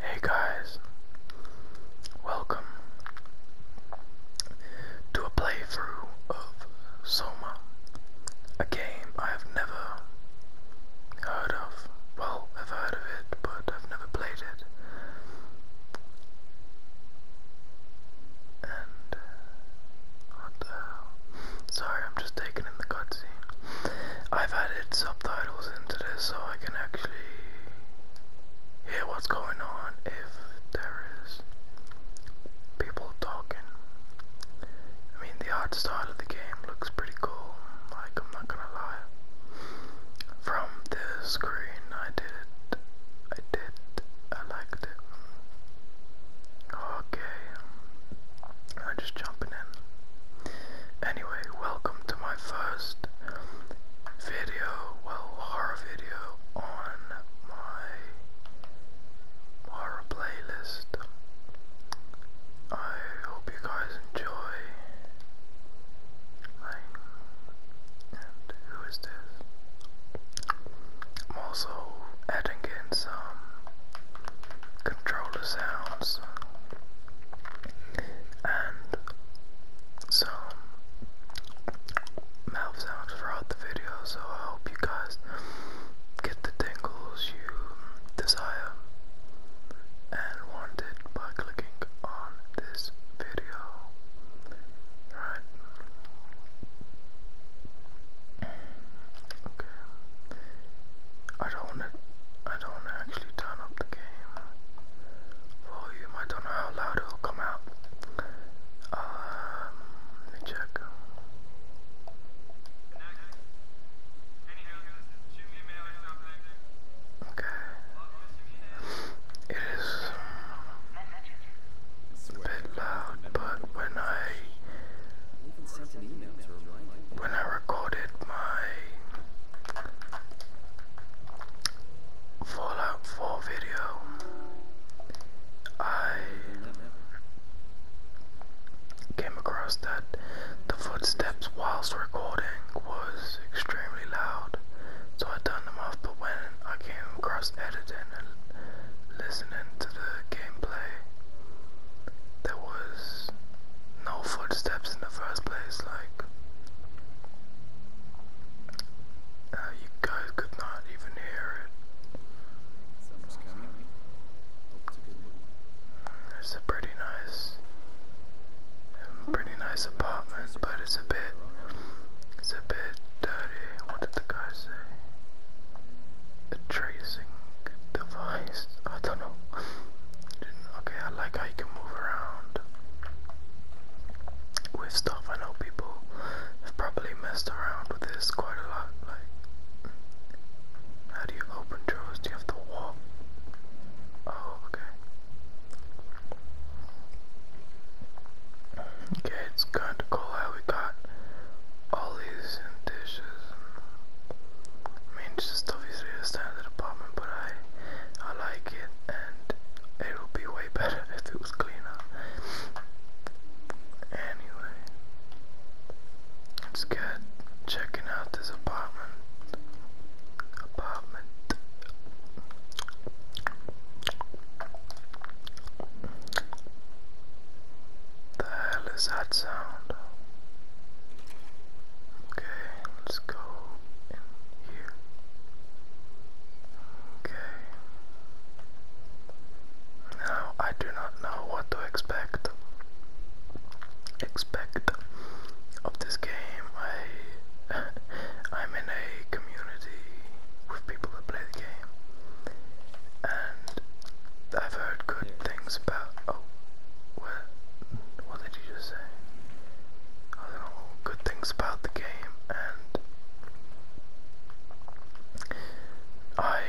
Hey guys, welcome to a playthrough of Soma, a game I have never heard of. Well, I've heard of it, but I've never played it. And Sorry, I'm just taking in the cutscene. I've added subtitles into this so I can actually hear what's going on if there is people talking. I mean, the art style of the game looks pretty cool, like, I'm not gonna lie. From this screen, I did it. I did. I liked it. Okay. I'm just jumping in. Anyway, welcome to my first video, well, horror video on my horror playlist. I hope you guys enjoy. and who is this? I'm also adding in some controller sounds and some mouth sounds throughout the video so I hope you guys get the tingles you desire and wanted by clicking on this video. Right. Okay. I don't want to I don't actually turn up the game volume. I don't know how loud it'll come out. Um, let me check. Okay. It is um, a bit loud, but when I when I recorded my Fallout 4 video, I came across that the footsteps whilst recording was extremely loud, so I turned them off, but when I came across editing and listening to the gameplay, there was no footsteps in the first place, like uh, you guys could not even hear it. it's a pretty nice, pretty nice apartment, but it's a bit, it's a bit dirty. What did the guy say? A tracing device. I don't know. Okay, I like how you can move around with stuff. I know people have probably messed around with this quite a lot. Like, how do you open drawers? Do you have to walk? Oh, okay. Okay, it's kind of cool how we got all these dishes. I mean, it's just obviously a standard apartment, but I, I like it, and it would be way better if it was cleaner. Anyway, let's checking out this apartment. Apartment. The hell is that sound? Okay, let's go in here. Okay. Now I do not know what to expect. Expect of this game. I I'm in a community with people that play the game. And I've heard good things about oh well what did you just say? I don't know, good things about the game, and I,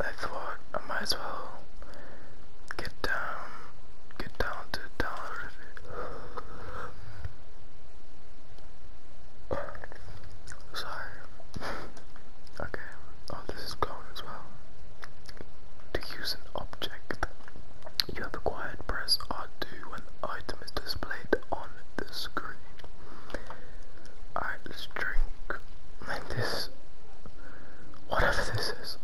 I thought I might as well get down, get down to download it. Sorry. okay, to use an object you have acquired, press R2 when the item is displayed on the screen. Alright, let's drink. And this, whatever this is,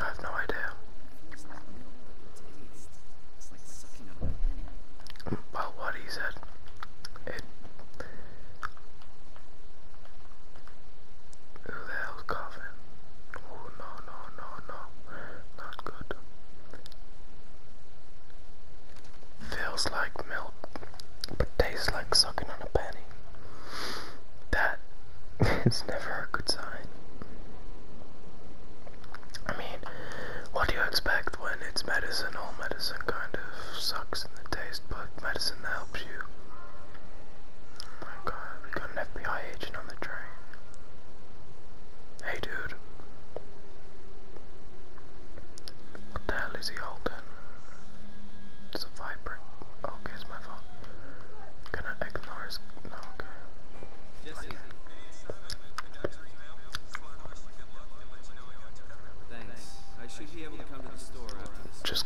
I have no idea. Well, what he said, it who the hell's coughing? Oh no no no no, not good. Feels like milk, but tastes like sucking on a penny. That is never a good sign. I mean, what do you expect when it's medicine? medicine kind of sucks in the taste, but medicine helps Oh my god, we got an FBI agent on the train. Hey dude. What the hell is he holding? It's a vibrant. Okay, it's my fault. Can I ignore his. No, okay. should be able to come to the store Just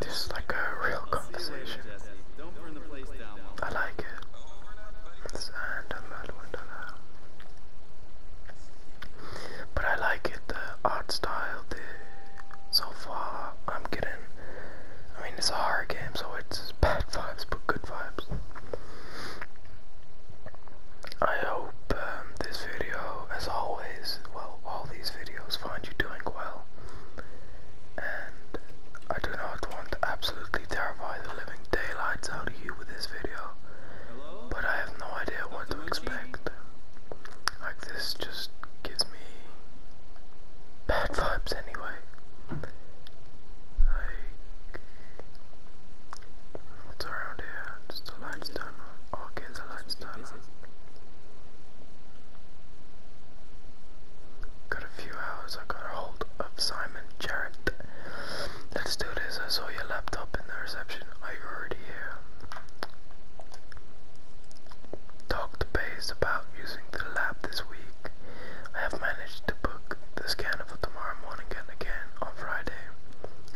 This is like a real conversation. I like it. Uh, but I like it, the art style, the so far I'm getting I mean it's a horror game so it's bad vibes but good vibes. I hope um, this video as always, well, all these videos find you doing well. And I do not want to absolutely terrify the living daylights out of you with this video. But I have no idea what to expect. Like, this just gives me bad vibes anyway. What's around here? Just a limestone. Oh, okay, it's a limestone. Got a few hours. I got a hold of Simon Jarrett. Let's do this. I saw your laptop in the reception. Are you already here? Talk to Baze about using the lab this week. I have managed to book the scan for tomorrow morning and again on Friday.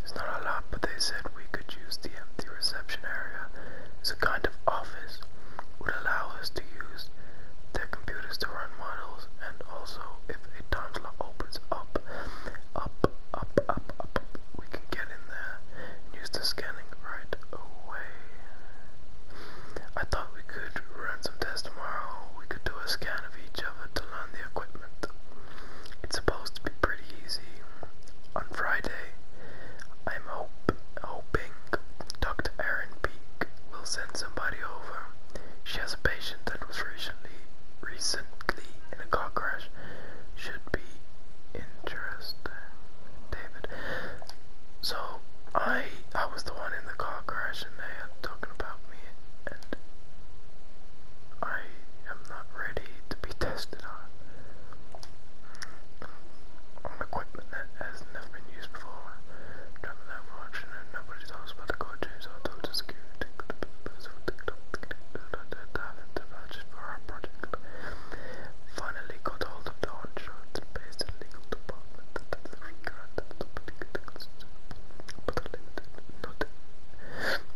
There's not a lot, but they said we could use the empty reception area as a kind of office. Would allow us to use their computers to run models, and also if a time slot opens up, up, up, up, up, we can get in there and use the scanning right away. I thought we could run some tests tomorrow. We could do a scan of each other to learn the equipment. It's supposed to be pretty easy. On Friday, I'm hope, hoping Dr. Erin Peek will send somebody over. She has a patient that was recently, recently in a car crash. Should be interesting, David. So I, I was the one in the car crash, and they are talking about me, and I am not ready to be tested on, equipment that has never been used before. Driving that watch and nobody's else the court chase total security. Finally got hold of the insurance based in legal department that is regarded as the political but limited, not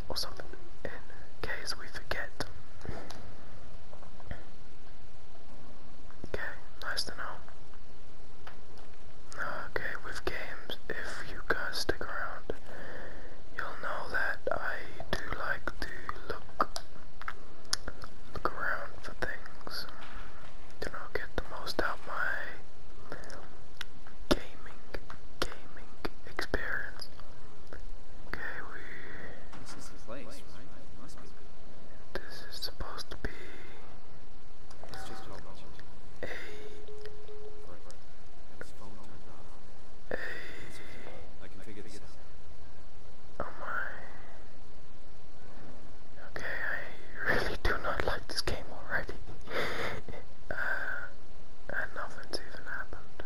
or something in case we forget. Okay, nice to know. Okay, with games, if you guys stick around, you'll know that I do like to look look around for things. You know, get the most out my gaming gaming experience. Okay, we. This is the place, right? must be. This is supposed to be. It's Hey. Oh my. Okay, I really do not like this game already. uh, and nothing's even happened.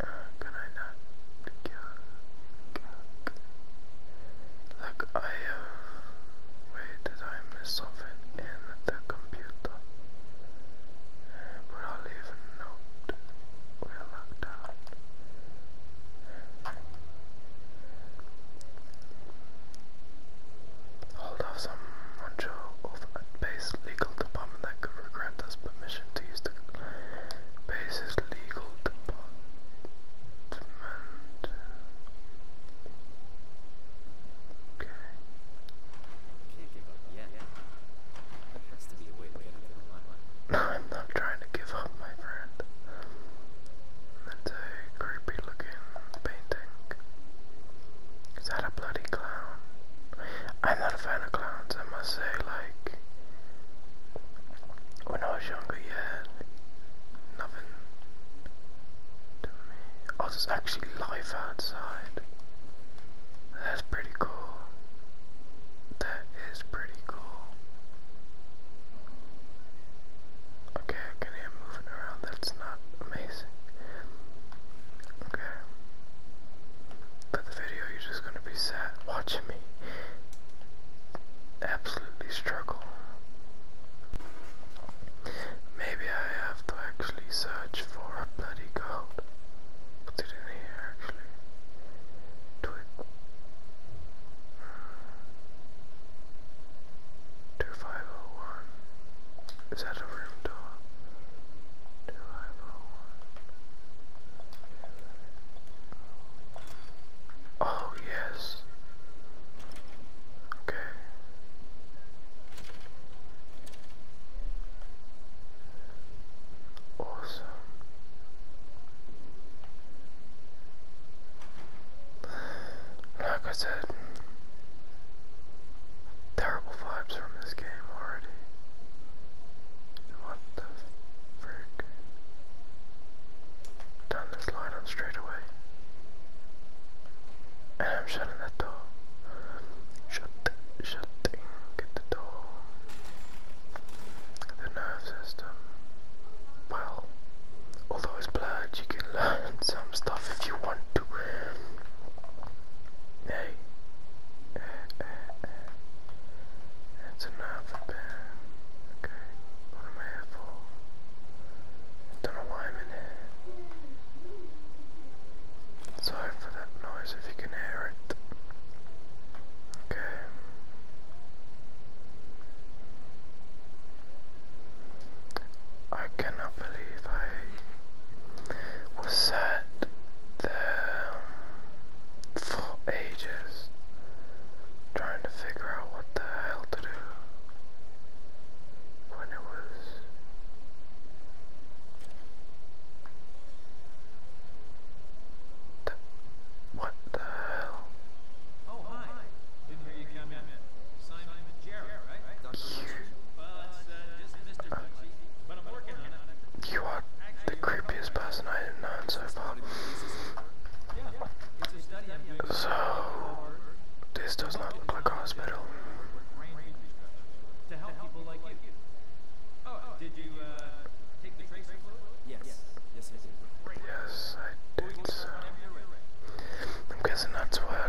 Uh, can I not Look, I have... Uh, wait, I miss something in the computer? but I'll leave We're locked out hold of some rancho of base legal department that could grant us permission to use the base's legal department. Okay. I'm not trying to give up, my friend. That's a creepy looking painting. Is that a bloody clown? I'm not a fan of clowns, I must say, like, when I was younger, yeah, nothing to me. Oh, there's actually life outside. That's pretty cool. That is pretty cool. Okay, can hear moving around, that's not amazing. Okay. But the video, you're just gonna be sat watching me absolutely struggle. Maybe I have to actually search for a bloody gold. Put it in here, actually. Twig. Hmm. Oh is that a room door? Do Oh, yes. Okay. Awesome. Like I said, Terrible vibes from this game already. What the frick? Done this line up straight And I'm shutting that door. Shut, shutting the door. The nerve system. Well, although it's blurred, you can learn, so stuff if you want to. Hey. That's enough Okay. What am I here for? Don't know why I'm in here. Sorry for that noise if you can hear it. Okay. I cannot believe I was sat there for ages trying to figure out what the hell to do when it was what the hell? Oh hi! Didn't hear you come in. Simon Jarrett, right? you are the creepiest person I have known so far. So, this does not look like a hospital. Oh, did you uh, take the tracer Yes. Yes, I did. Yes, I did. I'm guessing that's why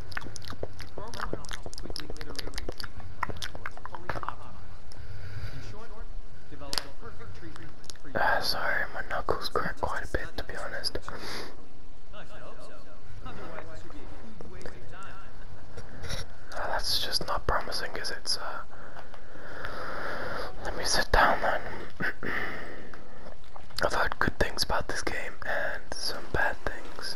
Uh, sorry, my knuckles crack quite a bit to be honest. Uh, that's just not promising, because it's. sir? Let me sit down then. I've heard good things about this game and some bad things.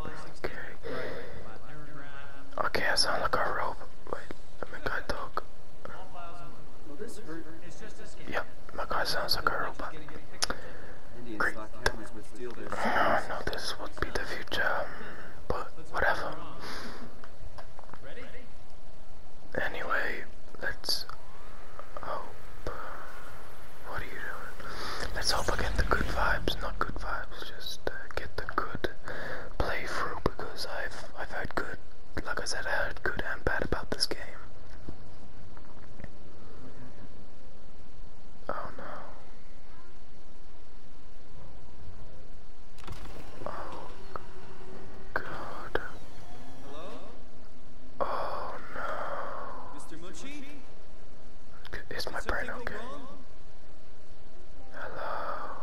Okay. Okay, I sound like a rope. Wait, i dog. Yep, my guy sounds like a robot. Great. I know this would be the future, but whatever. Anyway, let's hope. What are you doing? Let's hope I get the good vibes, not good vibes, just uh, get the good playthrough because I've I've heard good like I said I heard good and bad about this game. Oh no. Oh god. Hello? Oh, Mr. Mucci? Is my brain okay? Hello.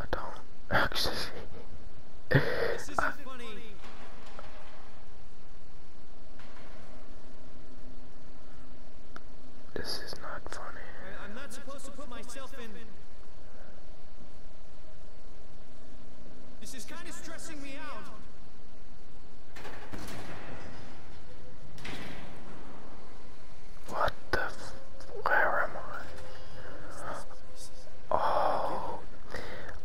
I don't actually. this is funny. This is not funny. I, am not supposed to put myself in. This is kind of stressing me out. What the where am I? Oh,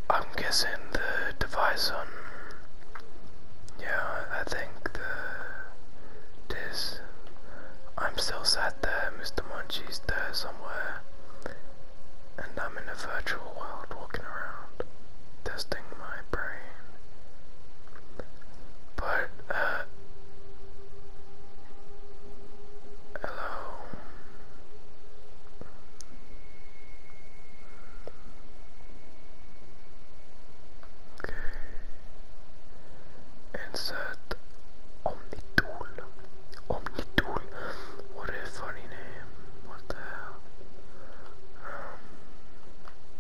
I'm guessing the device on. Yeah, I think the. This. I'm still sat there, Mr. Munchie's there somewhere. And I'm in a virtual world walking around, testing my brain. But, uh, hello. Okay. Insert Omnitool. Omnitool. What a funny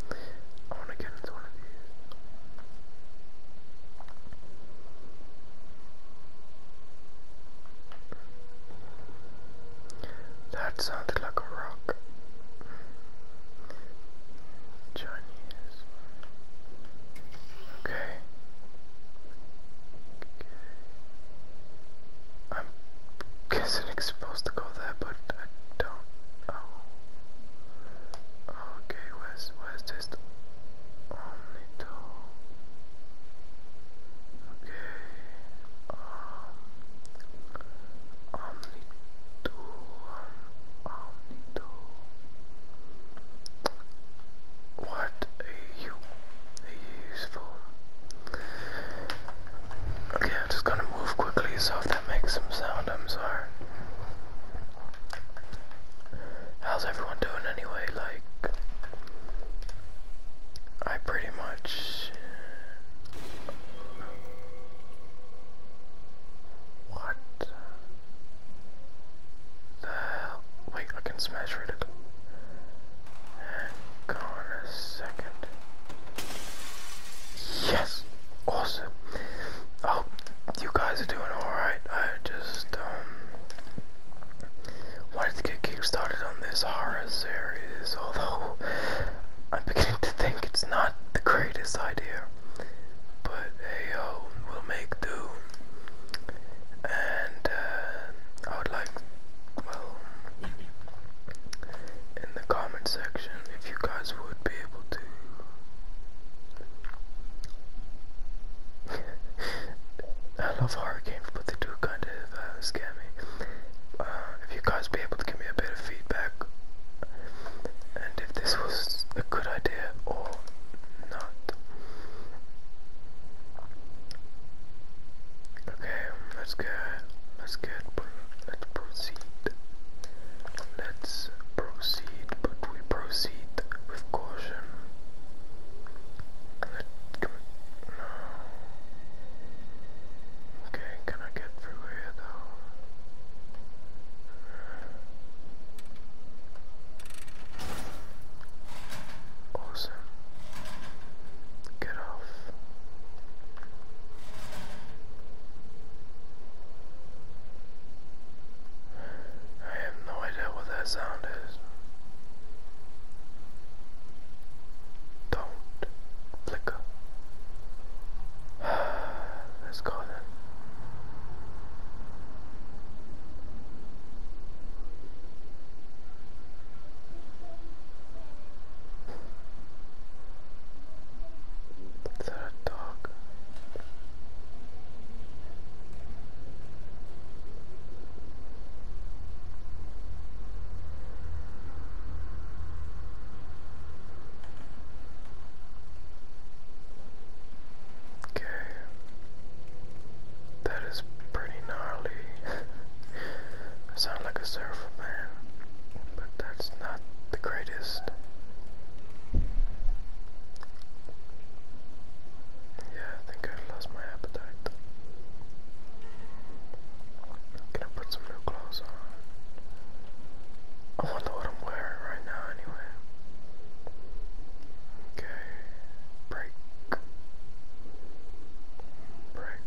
I want to get into one of these. That sounded like a rock. Chinese. Okay. I'm guessing it's supposed to go there, but I don't know. Okay, where's where's this Omnito? Okay, um, Omnito, What a you useful. Okay, I'm just gonna move quickly, so if that makes some sound, I'm sorry. How's everyone doing anyway? Like, I pretty much. What the hell? Wait, I can smash it. Hang on a second. Yes. Awesome. Oh, you guys are doing alright. I just um wanted to get kick started on this horror series, although I'm beginning to think it's not the greatest idea. But hey yo, we'll make do. And uh I would like well in the comment section if you guys would be able to. I love horror games, but they do kind of uh, scare me. Uh, if you guys be able to give me a bit of feedback, and if this was a good idea or not. Okay, let's go. Let's get proceed. Let's proceed, but we proceed with caution. no. Okay, can I get through here though? Awesome. Get off. I have no idea what that sound is. Don't flicker. Let's go then. Is a dog? Okay, that is pretty gnarly. sound like a deserve man, but that's not the greatest. Yeah, I think I lost my appetite. Can I put some new clothes on? I wonder what I'm wearing right now anyway. Okay, break. Break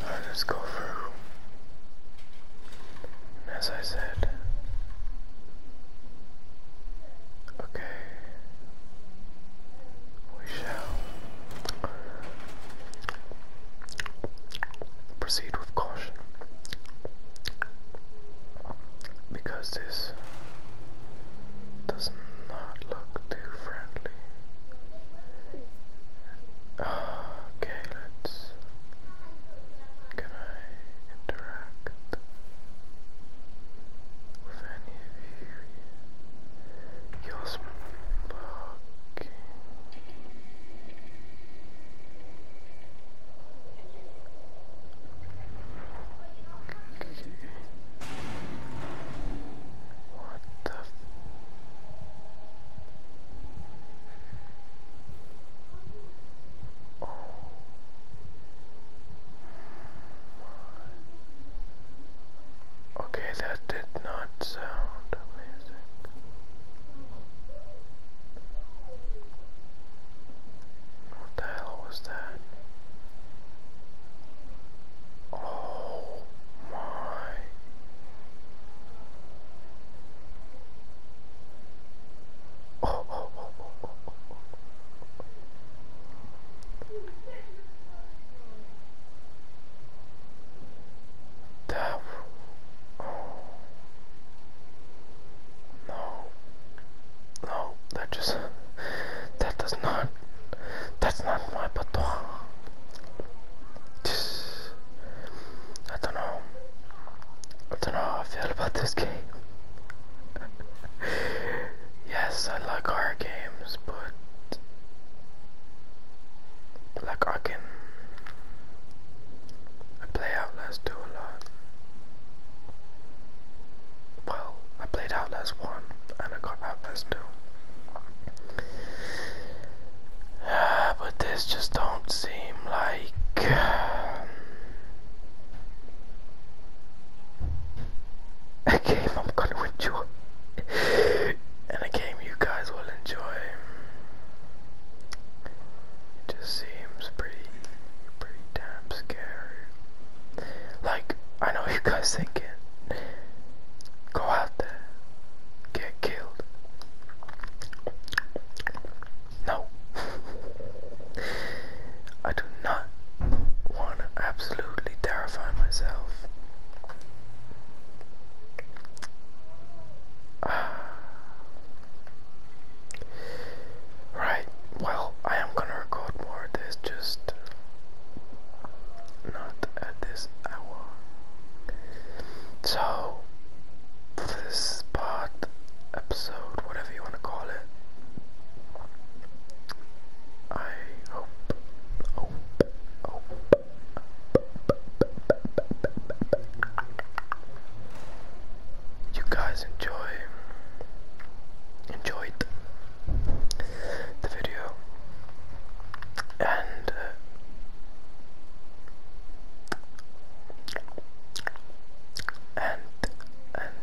I'll go through. as I said, okay, we shall proceed with caution because this does not look too friendly. Okay, let's. Can I interact with any of you? you what the? Oh Okay, that did not sound amazing. What the hell was that? Oh my. Oh, oh, oh. No. No, that just that does not. That's not my patois. I don't know. I don't know how I feel about this game. yes, I like horror games, but like I can. I play Outlast 2 a lot. Well, I played out as one and I got out as two. but this just don't seem like um, a game I'm gonna enjoy and a game you guys will enjoy. It just seems pretty pretty damn scary. Like, I know you guys thinking, go out there, get killed. No. I do not want to absolutely terrify myself. Uh, Right, well, I am gonna record more of this, just not at this hour. So, this part, episode, whatever you want to call it, I hope, hope, hope you guys enjoy enjoy the video uh, and and and and,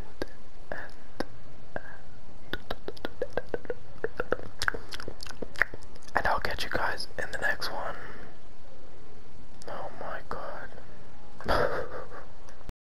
and and I'll catch you guys in the next one. Oh my god.